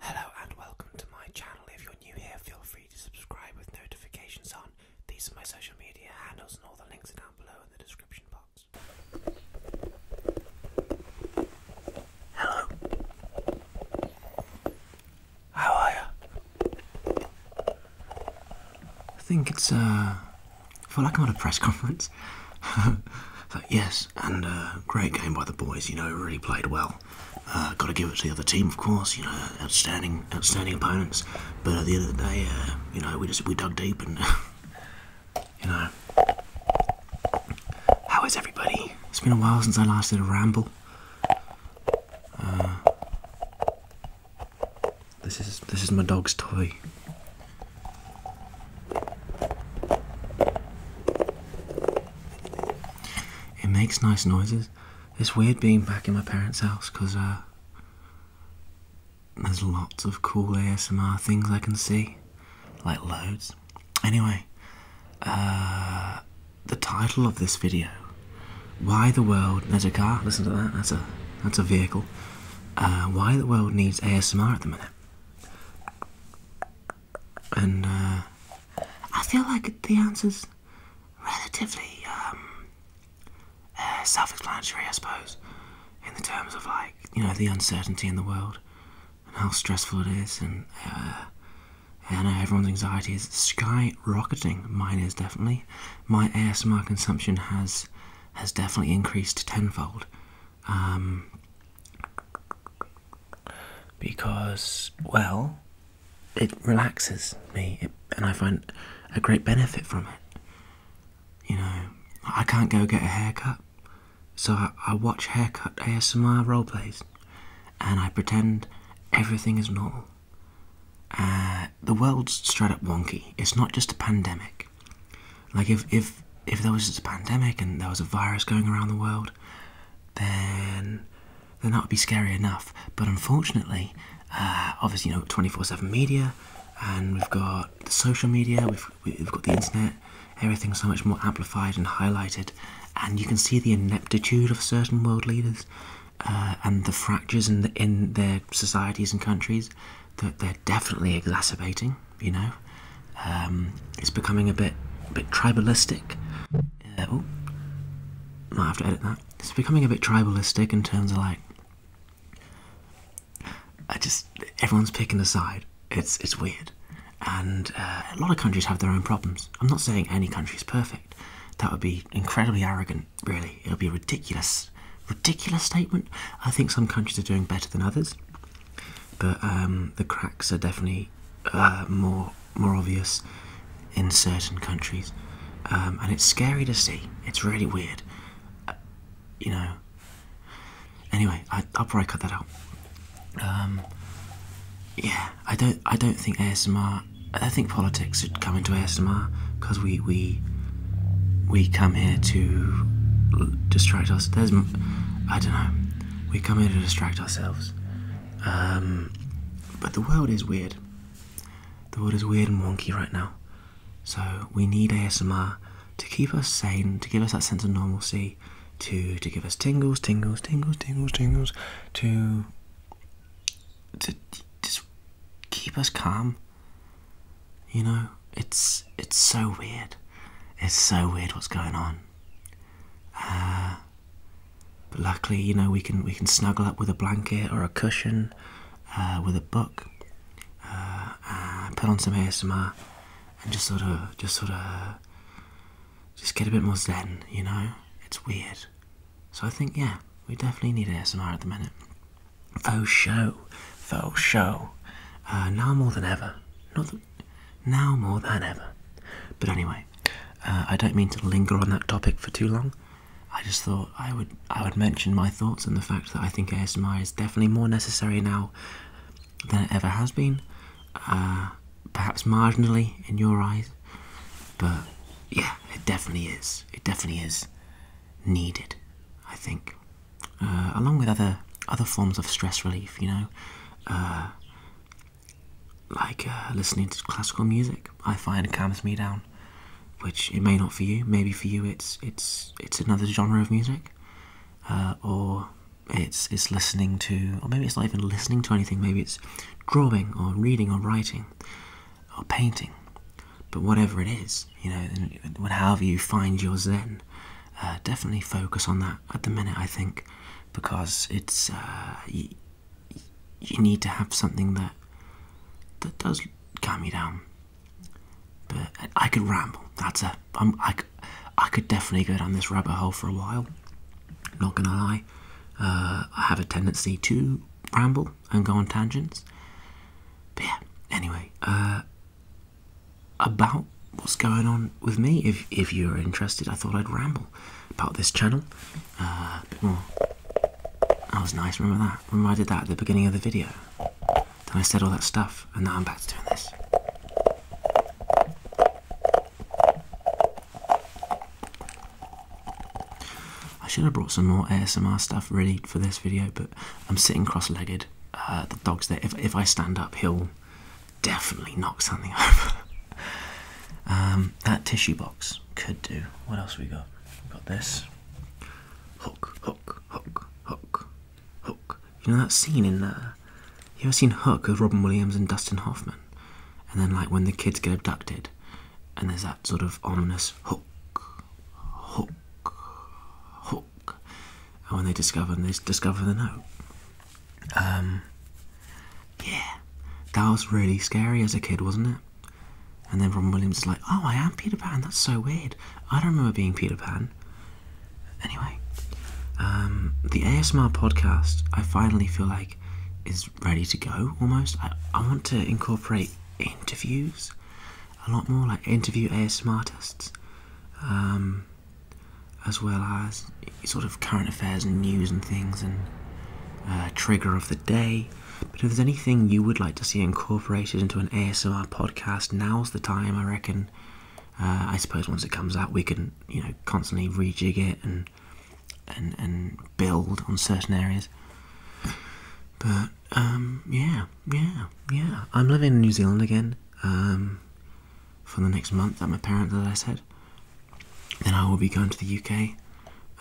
Hello and welcome to my channel. If you're new here, feel free to subscribe with notifications on. These are my social media handles, and all the links are down below in the description box. Hello. How are you? I think it's, uh, I feel like I'm at a press conference. but yes, and uh, great game by the boys. You know, really played well. Uh, got to give it to the other team, of course. You know, outstanding, outstanding opponents. But at the end of the day, uh, you know, we just we dug deep and you know, how is everybody? It's been a while since I last did a ramble. Uh, this is this is my dog's toy. It makes nice noises. It's weird being back in my parents' house because uh, there's lots of cool ASMR things I can see, like loads. Anyway, uh, the title of this video: Why the world? needs a car. Listen to that. That's a that's a vehicle. Uh, why the world needs ASMR at the minute and uh, I feel like the answer's relatively um, uh, self-explanatory, I suppose, in the terms of like you know the uncertainty in the world and how stressful it is, and uh, everyone's anxiety is skyrocketing. Mine is definitely. My ASMR consumption has has definitely increased tenfold. Um, because, well, it relaxes me and I find a great benefit from it. You know, I can't go get a haircut, so I, watch haircut ASMR role plays, and I pretend everything is normal. Uh, the world's straight up wonky. It's not just a pandemic. Like if if if there was a pandemic and there was a virus going around the world, then then that would be scary enough. But unfortunately, uh, obviously, you know, twenty four seven media, and we've got the social media, we've we've got the internet. Everything's so much more amplified and highlighted, and you can see the ineptitude of certain world leaders, uh, and the fractures in in their societies and countries that they're definitely exacerbating. You know, um, it's becoming a bit, a bit tribalistic. Uh, might have to edit that. It's becoming a bit tribalistic in terms of like, I just everyone's picking a side. It's it's weird, and uh, a lot of countries have their own problems. I'm not saying any country is perfect. That would be incredibly arrogant. Really, it would be a ridiculous, ridiculous statement. I think some countries are doing better than others but um, the cracks are definitely uh, more more obvious in certain countries, um, and it's scary to see. It's really weird, uh, you know. Anyway, I, will probably cut that out. Um, yeah, I don't. I don't think ASMR. I think politics should come into ASMR because we we we come here to distract us. There's, I don't know. We come here to distract ourselves. Um, but the world is weird. The world is weird and wonky right now. So we need ASMR to keep us sane, to give us that sense of normalcy, to to give us tingles, tingles, tingles, tingles, tingles, to to just keep us calm. You know, it's it's so weird. It's so weird what's going on. Uh, but luckily, you know, we can we can snuggle up with a blanket or a cushion, uh, with a book, uh, put on some ASMR, and just sort of just sort of just get a bit more zen. You know, it's weird. So I think yeah, we definitely need ASMR at the minute. Faux show, faux show. Uh, now more than ever now more than ever. But anyway, uh, I don't mean to linger on that topic for too long. I just thought I would I would mention my thoughts and the fact that I think ASMR is definitely more necessary now than it ever has been. Uh, perhaps marginally in your eyes, but yeah, it definitely is. It definitely is needed. I think, uh, along with other other forms of stress relief, you know, like uh, listening to classical music. I find calms me down, which it may not for you. Maybe for you, it's it's it's another genre of music, uh, or it's it's listening to, or maybe it's not even listening to anything. Maybe it's drawing or reading or writing or painting. But whatever it is, you know, whatever you find your zen, uh, definitely focus on that at the minute, I think, because it's uh, you, need to have something that that does calm you down. But I could ramble. That's a I'm, I, could definitely go down this rabbit hole for a while. Not gonna lie, uh, I have a tendency to ramble and go on tangents. But yeah, anyway, about what's going on with me. If if you're interested, I thought I'd ramble about this channel uh, a bit more. That was nice. Remember that? Remember I did that at the beginning of the video. Then I said all that stuff, and now I'm back to doing this. I should have brought some more ASMR stuff ready for this video, but I'm sitting cross-legged. Uh, the dog's there. If if I stand up, he'll definitely knock something over. Um, that tissue box could do. What else we got? got this. Hook, hook, hook, hook, hook. You know that scene in uh, you ever seen Hook with Robin Williams and Dustin Hoffman? And then like when the kids get abducted, and there's that sort of ominous hook, hook, hook, and when they discover and they discover the note. Um, yeah, that was really scary as a kid, wasn't it? And then from Williams is like, oh, I am Peter Pan. That's so weird. I don't remember being Peter Pan. Anyway, um, the ASMR podcast, I finally feel like, is ready to go almost. I, want to incorporate interviews a lot more, like interview ASMR artists. Um, as well as sort of current affairs and news and things and uh, trigger of the day. But if there's anything you would like to see incorporated into an ASMR podcast, now's the time, I reckon. Uh, I suppose once it comes out, we can you know constantly rejig it and and and build on certain areas. But um, yeah, yeah, yeah. I'm living in New Zealand again. Um, for the next month that my parents parent, I said. Then I will be going to the UK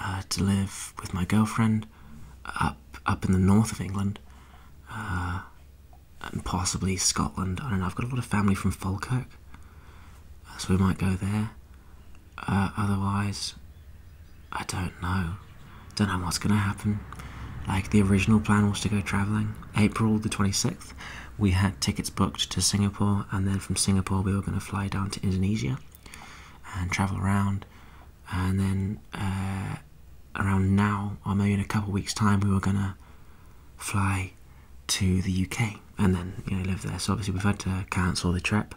uh, to live with my girlfriend up up in the north of England, uh, and possibly Scotland. I don't know. I've got a lot of family from Falkirk, uh, so we might go there. otherwise, I don't know. Don't know what's gonna happen. Like the original plan was to go travelling April the 26th, we had tickets booked to Singapore, and then from Singapore, we were going to fly down to Indonesia and travel around. And then uh, around now, or maybe in a couple weeks' time, we were going to fly to the UK and then live there. So obviously, we've had to cancel the trip,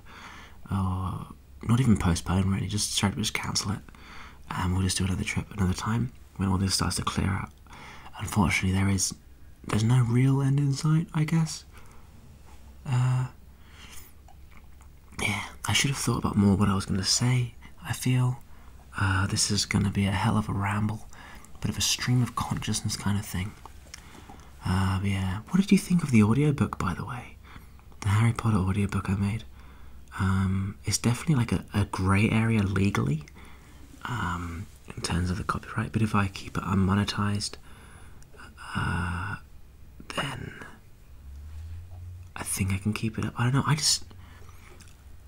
or not even postpone really, just straight up just cancel it, and we'll just do another trip another time when all this starts to clear up unfortunately there is there's no real end in sight i guess uh, yeah i should have thought about more what i was going to say i feel uh, this is going to be a hell of a ramble bit of a stream of consciousness kind of thing uh, yeah what did you think of the audiobook by the way the harry potter audiobook i made um, it's definitely like a, a grey area legally um, in terms of the copyright, but if I keep it unmonetized, uh, then I think I can keep it up. I don't know, I just.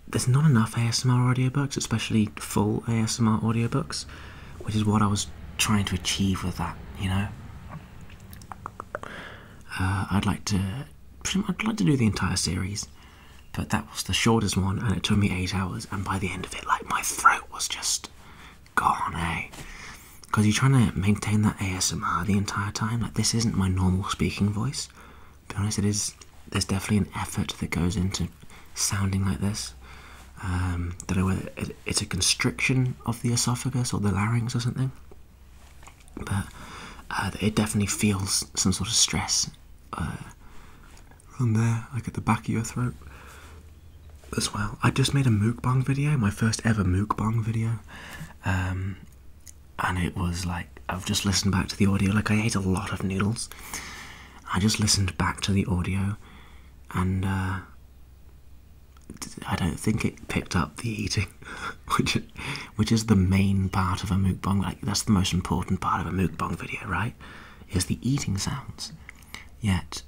There's not enough ASMR audiobooks, especially full ASMR audiobooks, which is what I was trying to achieve with that, you know? Uh, I'd like to. I'd like to do the entire series but that was the shortest one, and it took me eight hours. And by the end of it, like my throat was just gone, eh? Because you're trying to maintain that ASMR the entire time. Like this isn't my normal speaking voice. To be honest, it is. There's definitely an effort that goes into sounding like this. Um, know whether it's a constriction of the esophagus or the larynx or something. But uh, it definitely feels some sort of stress. Uh, around there, like at the back of your throat as well. I just made a mukbang video, my first ever mukbang video, um, and it was like I've just listened back to the audio. Like I ate a lot of noodles. I just listened back to the audio, and uh, I don't think it picked up the eating, which which is the main part of a mukbang. Like that's the most important part of a mukbang video, right? is the eating sounds. Yet,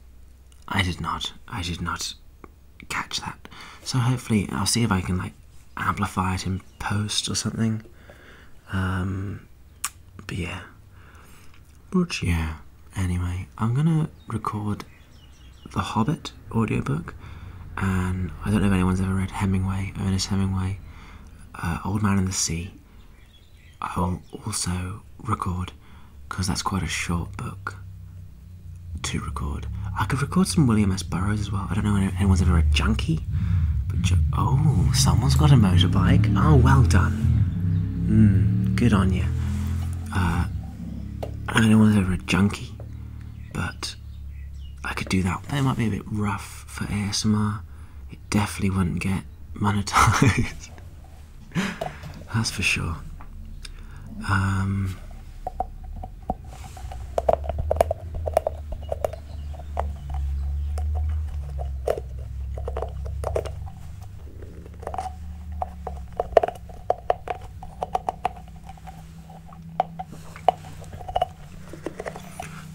I did not, I did not catch that. So hopefully, I'll see if I can like amplify it in post or something. Um, but yeah, but yeah. Anyway, I'm gonna record the Hobbit audiobook, and I don't know if anyone's ever read Hemingway, Ernest Hemingway, uh, Old Man and the Sea. I will also record, because that's quite a short book to record. I could record some William S. Burroughs as well. I don't know if anyone's ever read Junkie. But oh, someone's got a motorbike. Oh, well done. Mm, good on you. Uh, I don't know if anyone's ever read Junkie, but I could do that. That might be a bit rough for ASMR it definitely wouldn't get monetized. That's for sure. Um,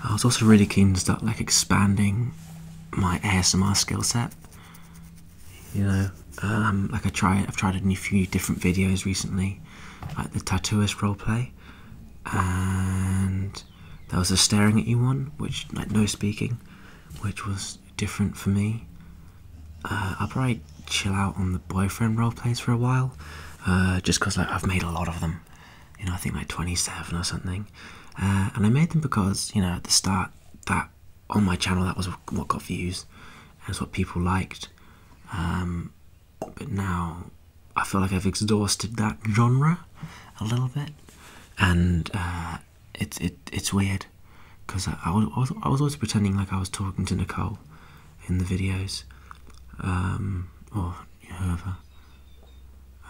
I was also really keen to start like expanding my ASMR skill set. You know, um, like I try, I've tried a few different videos recently, like the tattooist roleplay, and there was a staring at you one, which like no speaking, which was different for me. Uh, I'll probably chill out on the boyfriend roleplays for a while, uh, just because like I've made a lot of them, you know, I think like 27 or something. Uh, and I made them because, you know, at the start, that on my channel, that was what got views. And it's what people liked. Um, but now I feel like I've exhausted that genre a little bit. And uh, it, it's weird because I, was, I was always pretending like I was talking to Nicole in the videos. Um, or however.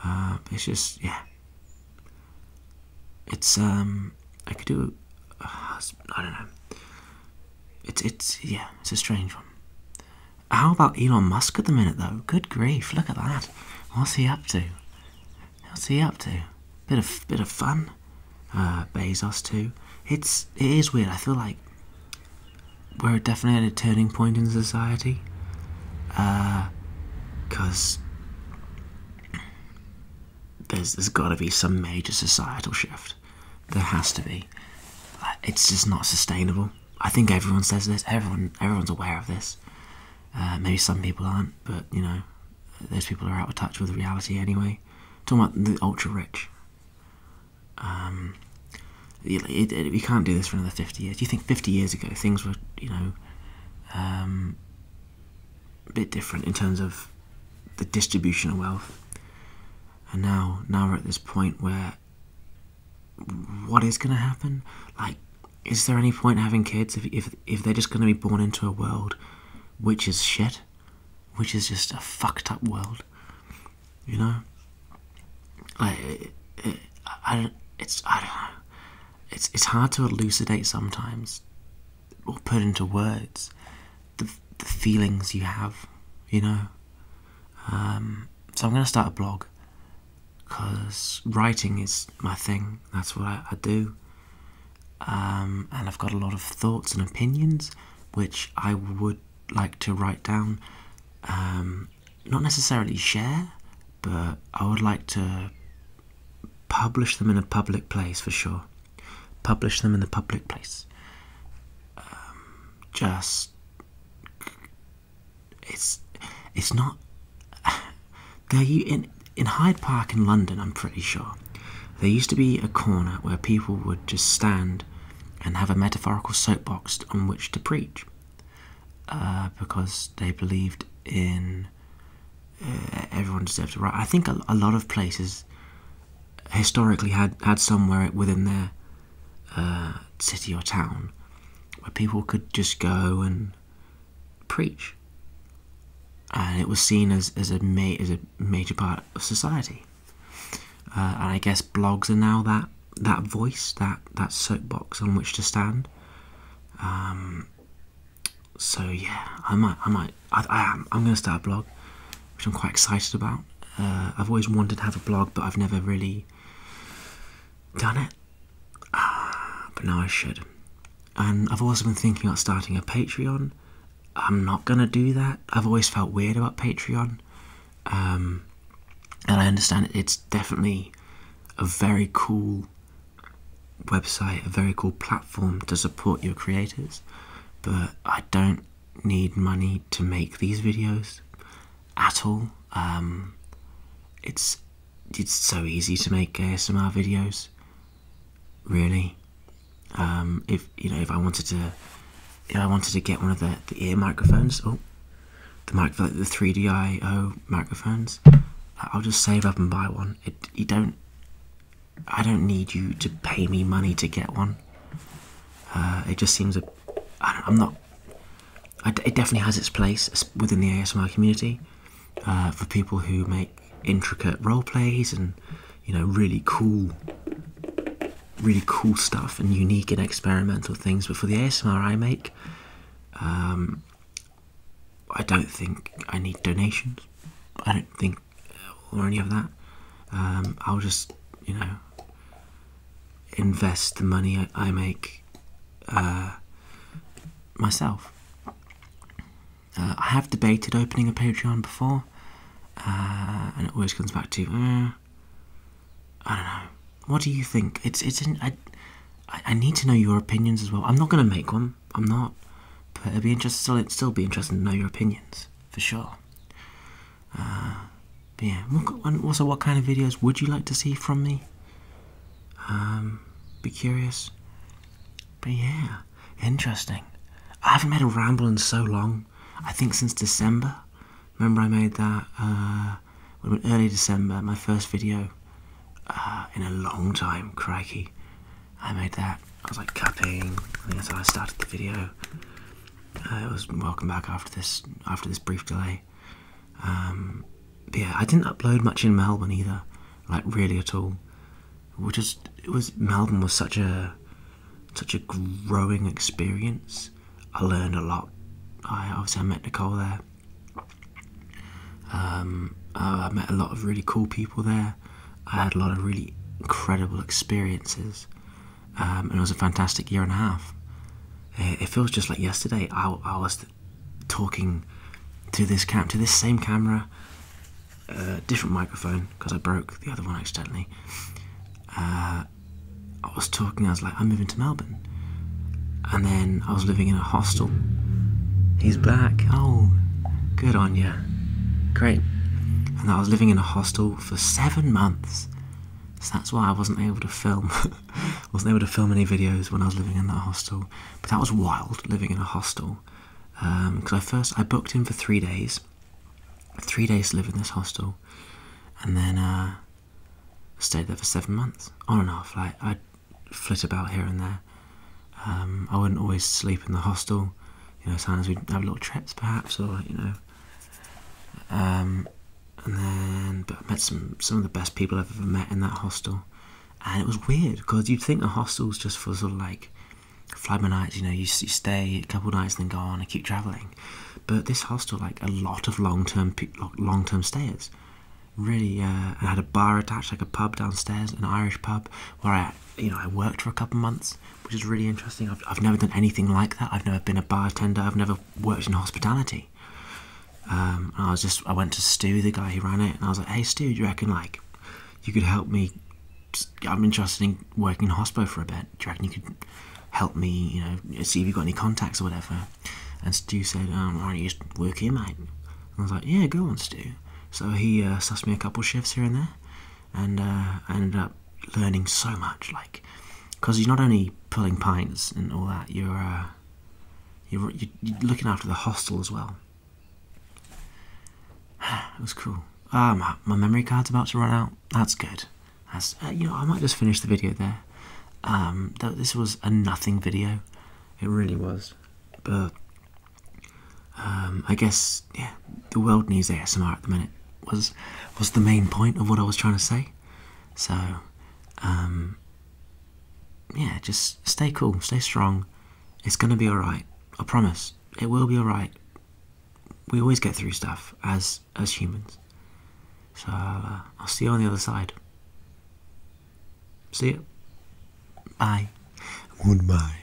Uh, it's just, yeah. It's, um, I could do, uh, I don't know. It's, it's, yeah, it's a strange one. How about Elon Musk at the minute, though? Good grief, look at that. What's he up to? What's he up to? Bit of, bit of fun. Uh, Bezos too. It's, it is weird. I feel like we're definitely at a turning point in society. Uh, cause there's there's got to be some major societal shift. There has to be. It's just not sustainable. I think everyone says this. Everyone everyone's aware of this. Uh, maybe some people aren't, but you know, those people are out of touch with reality anyway. talking about the ultra rich. Um, it, we can't do this for another 50 years. You think 50 years ago things were, you know, um, a bit different in terms of the distribution of wealth. And now, now we're at this point where what is going to happen? Like, is there any point having kids if, if, if they're just going to be born into a world which is shit? Which is just a fucked up world? You know, like it, it, I, it's I don't know. It's it's hard to elucidate sometimes, or put into words, the the feelings you have. You know, um, so I'm gonna start a blog, cause writing is my thing. That's what I, do. Um, and I've got a lot of thoughts and opinions which I would like to write down um, not necessarily share, but I would like to publish them in a public place for sure. Publish them in the public place. Um, just it's it's not. There, you in in Hyde Park in London. I'm pretty sure there used to be a corner where people would just stand and have a metaphorical soapbox on which to preach. Uh, because they believed in uh, everyone deserves a right. I think a, lot of places historically had had somewhere within their uh, city or town where people could just go and preach, and it was seen as as a ma as a major part of society. and I guess blogs are now that that voice, that that soapbox on which to stand. Um, so yeah, I might, I might, I, I am. I'm going to start a blog, which I'm quite excited about. Uh, I've always wanted to have a blog, but I've never really done it. Ah, but now I should. And I've also been thinking about starting a Patreon. I'm not going to do that. I've always felt weird about Patreon. Um, and I understand it's definitely a very cool website, a very cool platform to support your creators. But I don't need money to make these videos at all. Um, it's it's so easy to make ASMR videos. Really, um, if you know, if I wanted to, if I wanted to get one of the, the ear microphones, oh, the mic the 3DIO microphones. I'll just save up and buy one. you don't. I don't need you to pay me money to get one. Uh, it just seems a. I am not. it definitely has its place within the ASMR community uh, for people who make intricate role plays and you know really cool really cool stuff and unique and experimental things. But for the ASMR I make, um, I don't think I need donations. I don't think uh, or any of that. Um, I'll just you know invest the money I, make uh, myself. Uh, I have debated opening a Patreon before, and it always comes back to I don't know. What do you think? It's it's an, I, I need to know your opinions as well. I'm not gonna make one. I'm not, but it'd be interesting. Still, it'd still be interesting to know your opinions for sure. Uh, but yeah. What, also, what kind of videos would you like to see from me? Um, be curious. But yeah, interesting. I haven't made a ramble in so long. I think since December. Remember, I made that uh, early December, my first video uh, in a long time. Crikey, I made that. I was like capping. I think that's how I started the video. Uh, it was welcome back after this after this brief delay. Um, yeah, I didn't upload much in Melbourne either, like really at all. We just it was Melbourne was such a such a growing experience I learned a lot. I obviously I met Nicole there. Um, uh, I met a lot of really cool people there. I had a lot of really incredible experiences, um, and it was a fantastic year and a half. It, feels just like yesterday. I, was talking to this cam, to this same camera, uh, different microphone because I broke the other one accidentally. Uh, I was talking, I was like, I'm moving to Melbourne. And then I was living in a hostel. He's back. Oh, good on you. Great. And I was living in a hostel for seven months. So that's why I wasn't able to film. wasn't able to film any videos when I was living in that hostel. But that was wild, living in a hostel. Because um, I first, I booked in for three days. Three days to live in this hostel. And then, uh, I stayed there for seven months, on and off. Like I'd flit about here and there. Um, I wouldn't always sleep in the hostel. You know, sometimes we'd have little trips, perhaps, or you know. Um, and then, but I met some some of the best people I've ever met in that hostel, and it was weird because you'd think the hostel's just for sort of like fly by nights. You know, you stay a couple nights and then go on and keep traveling, but this hostel, like a lot of long-term long-term stayers, really uh, I had a bar attached, like a pub downstairs, an Irish pub where I, you know, I worked for a couple months, which is really interesting. I've I've never done anything like that. I've never been a bartender. I've never worked in hospitality. Um, and I was just I went to Stu, the guy who ran it, and I was like, hey Stu, do you reckon like you could help me? I'm interested in working in hospitality for a bit. Do you reckon you could help me, you know, see if you've got any contacts or whatever. And Stu said, um, why don't you just work here, mate? I was like, yeah, go on, Stu. So he uh, sussed me a couple shifts here and there, and I uh, ended up learning so much, like, because you're not only pulling pints and all that, you're, uh, you're, looking after the hostel as well. it was cool. Ah, my memory card's about to run out. That's good. As, uh, you know, I might just finish the video there. Um, th this was a nothing video. It really was. But um, I guess yeah, the world needs ASMR at the minute. Was was the main point of what I was trying to say. So um, yeah, just stay cool, stay strong. It's gonna be all right. I promise. It will be all right. We always get through stuff as as humans. So uh, I'll see you on the other side. See you. Bye. Goodbye.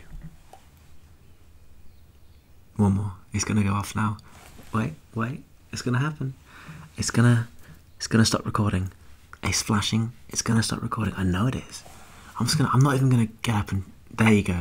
One more. It's gonna go off now. Wait, wait. It's gonna happen. It's gonna. It's gonna stop recording. It's flashing. It's gonna stop recording. I know it is. I'm just gonna. I'm not even gonna get up and. There you go.